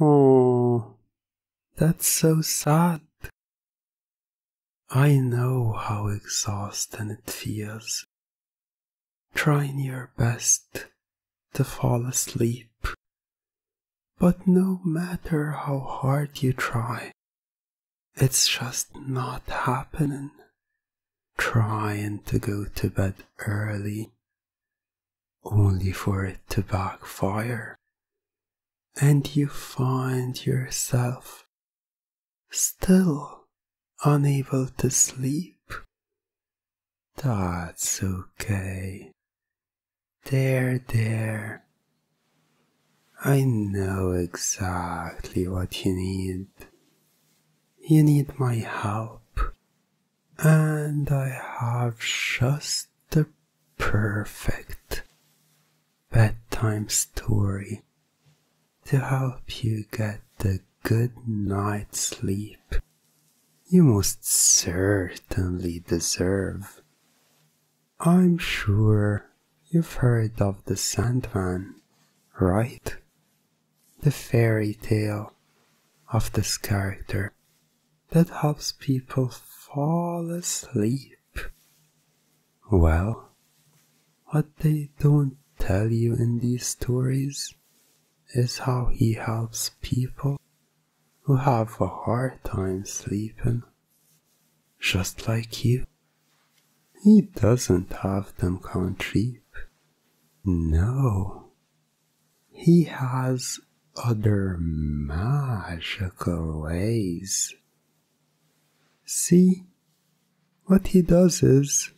Oh, that's so sad. I know how exhausting it feels trying your best to fall asleep. But no matter how hard you try, it's just not happening. Trying to go to bed early, only for it to backfire. And you find yourself still unable to sleep. That's okay. There, there. I know exactly what you need. You need my help. And I have just the perfect bedtime story to help you get the good night's sleep you most certainly deserve. I'm sure you've heard of the Sandman, right? The fairy tale of this character that helps people fall asleep. Well, what they don't tell you in these stories is how he helps people who have a hard time sleeping, just like you. He doesn't have them count sheep. No. He has other magical ways. See, what he does is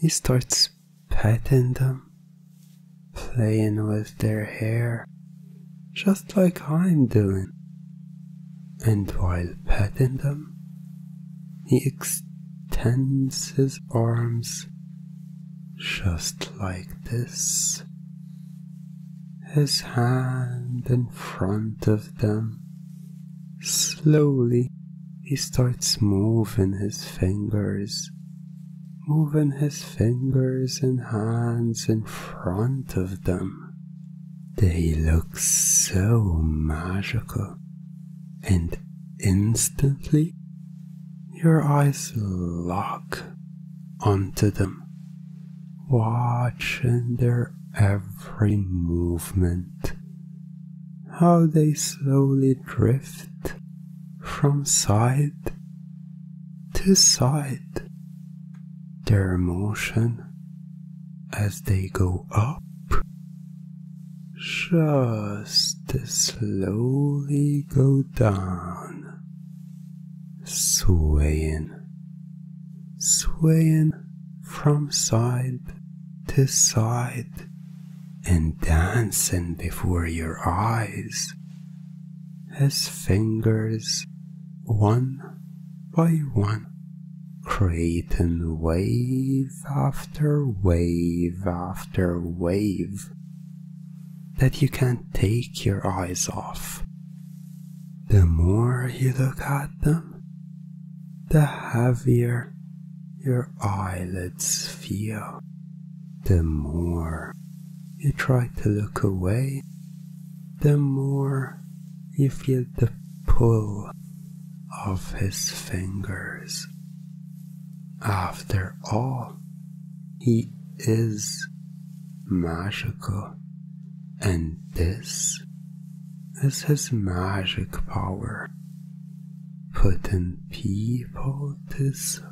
he starts petting them, playing with their hair, just like I'm doing. And while petting them, he extends his arms just like this his hand in front of them, Slowly, he starts moving his fingers, moving his fingers and hands in front of them. They look so magical, and instantly, your eyes lock onto them, watching their every movement, how they slowly drift from side to side. Their motion as they go up just slowly go down, swaying, swaying from side to side and dancing before your eyes. His fingers, one by one, creating wave after wave after wave that you can't take your eyes off. The more you look at them, the heavier your eyelids feel. The more you try to look away, the more you feel the pull of his fingers. After all, he is magical, and this this has magic power, putting people to sleep.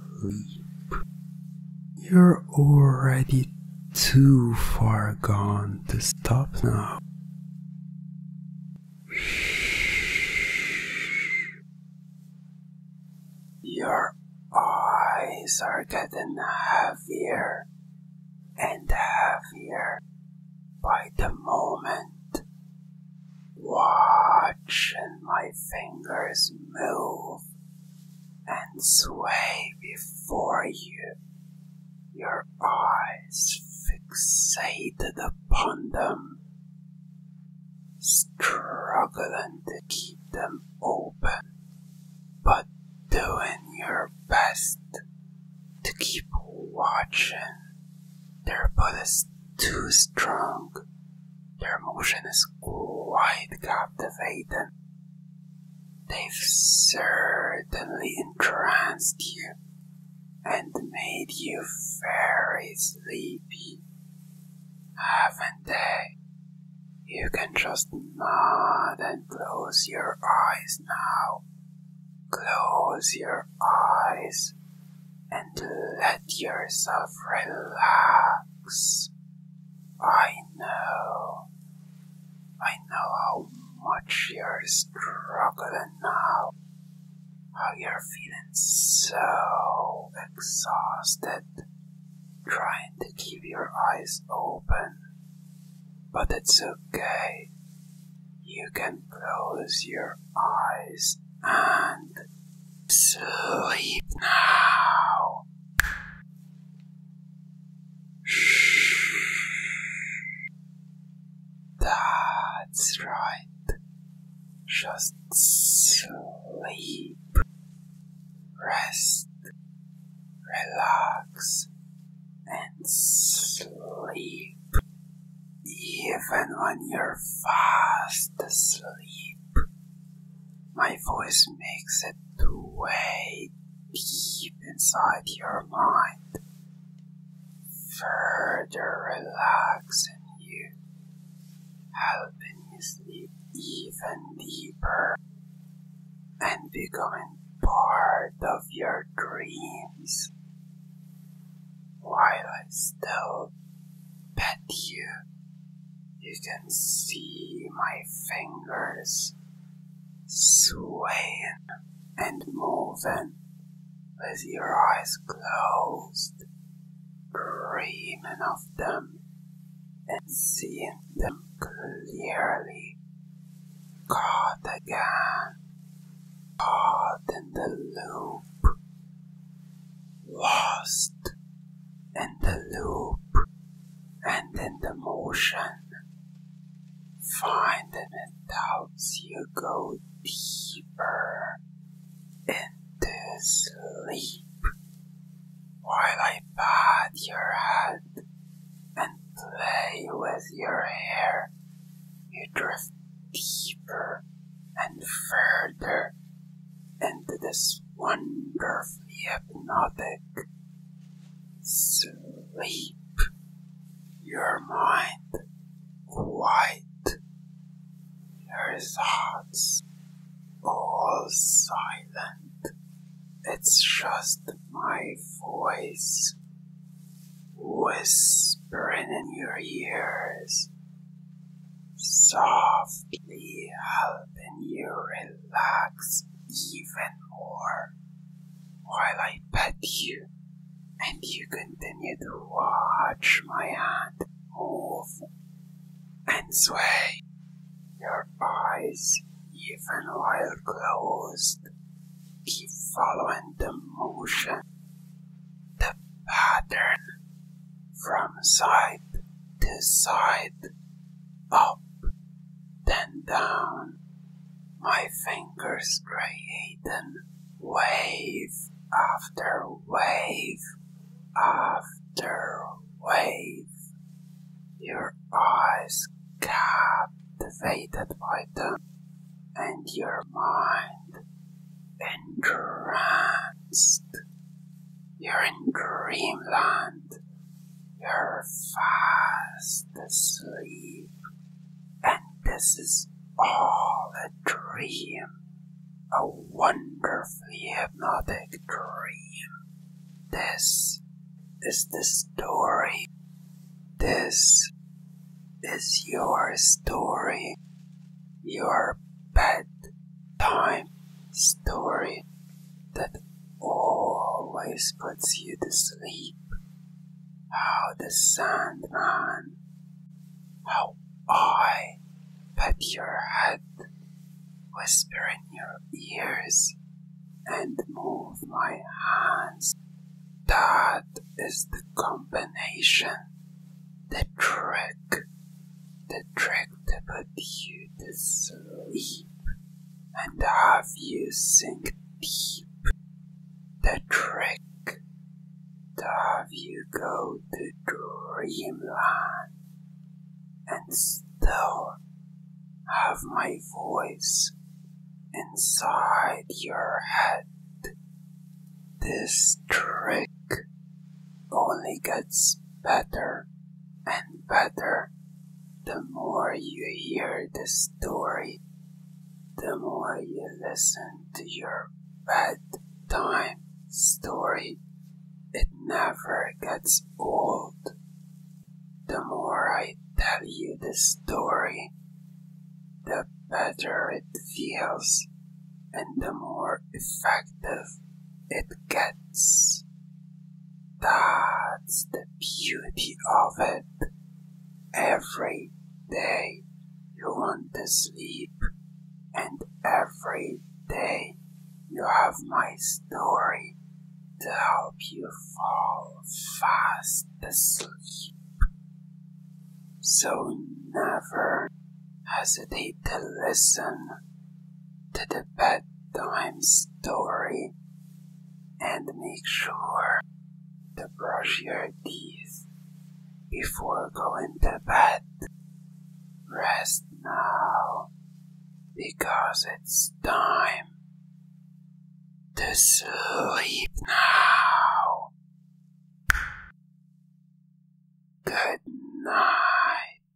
You're already too far gone to stop now. Your eyes are getting heavier and heavier by the moment. Watching my fingers move and sway before you, your eyes fixated upon them, struggling to keep them open, but doing your best to keep watching. Their bodies too strong. Their motion is quite captivating. They've certainly entranced you and made you very sleepy, haven't they? You can just nod and close your eyes now Close your eyes and let yourself relax. I know. I know how much you're struggling now. How you're feeling so exhausted. Trying to keep your eyes open. But it's okay. You can close your eyes and sleep now. That's right. Just sleep. Rest. Relax and sleep. Even when you're fast asleep, my voice makes it to way deep inside your mind, further relaxing you, helping you sleep even deeper, and becoming part of your dreams while I still pet you. You can see my fingers swaying and moving with your eyes closed, dreaming of them and seeing them clearly caught again, caught in the loop, lost in the loop and in the motion. finding them it helps you go deeper into sleep while I pat your head and play with your hair. You drift deeper and further into this wonderfully hypnotic sleep. Your mind quiet, your thoughts all silent it's just my voice whispering in your ears, softly helping you relax even more while I pet you and you continue to watch my hand move and sway your eyes, even while closed, keep following the motion, the pattern from side to side, up, then down. My fingers create an wave after wave after wave. Your eyes captivated by them, and your mind entranced. You're in dreamland. You're fast asleep, and this is all a dream. A wonderfully hypnotic dream. This is the story. This is your story. Your bedtime story that always puts you to sleep. How the Sandman. How I pet your head whisper in your ears, and move my hands. That is the combination, the trick, the trick to put you to sleep and have you sink deep. The trick to have you go to dreamland and still have my voice inside your head. This trick only gets better and better the more you hear the story, the more you listen to your bedtime story. It never gets old. The more I tell you the story, the better it feels and the more effective it gets. That's the beauty of it. Every day you want to sleep, and every day you have my story to help you fall fast asleep. So never hesitate to listen to the bedtime story and make sure to brush your teeth before going to bed. Rest now because it's time to sleep now. Good night.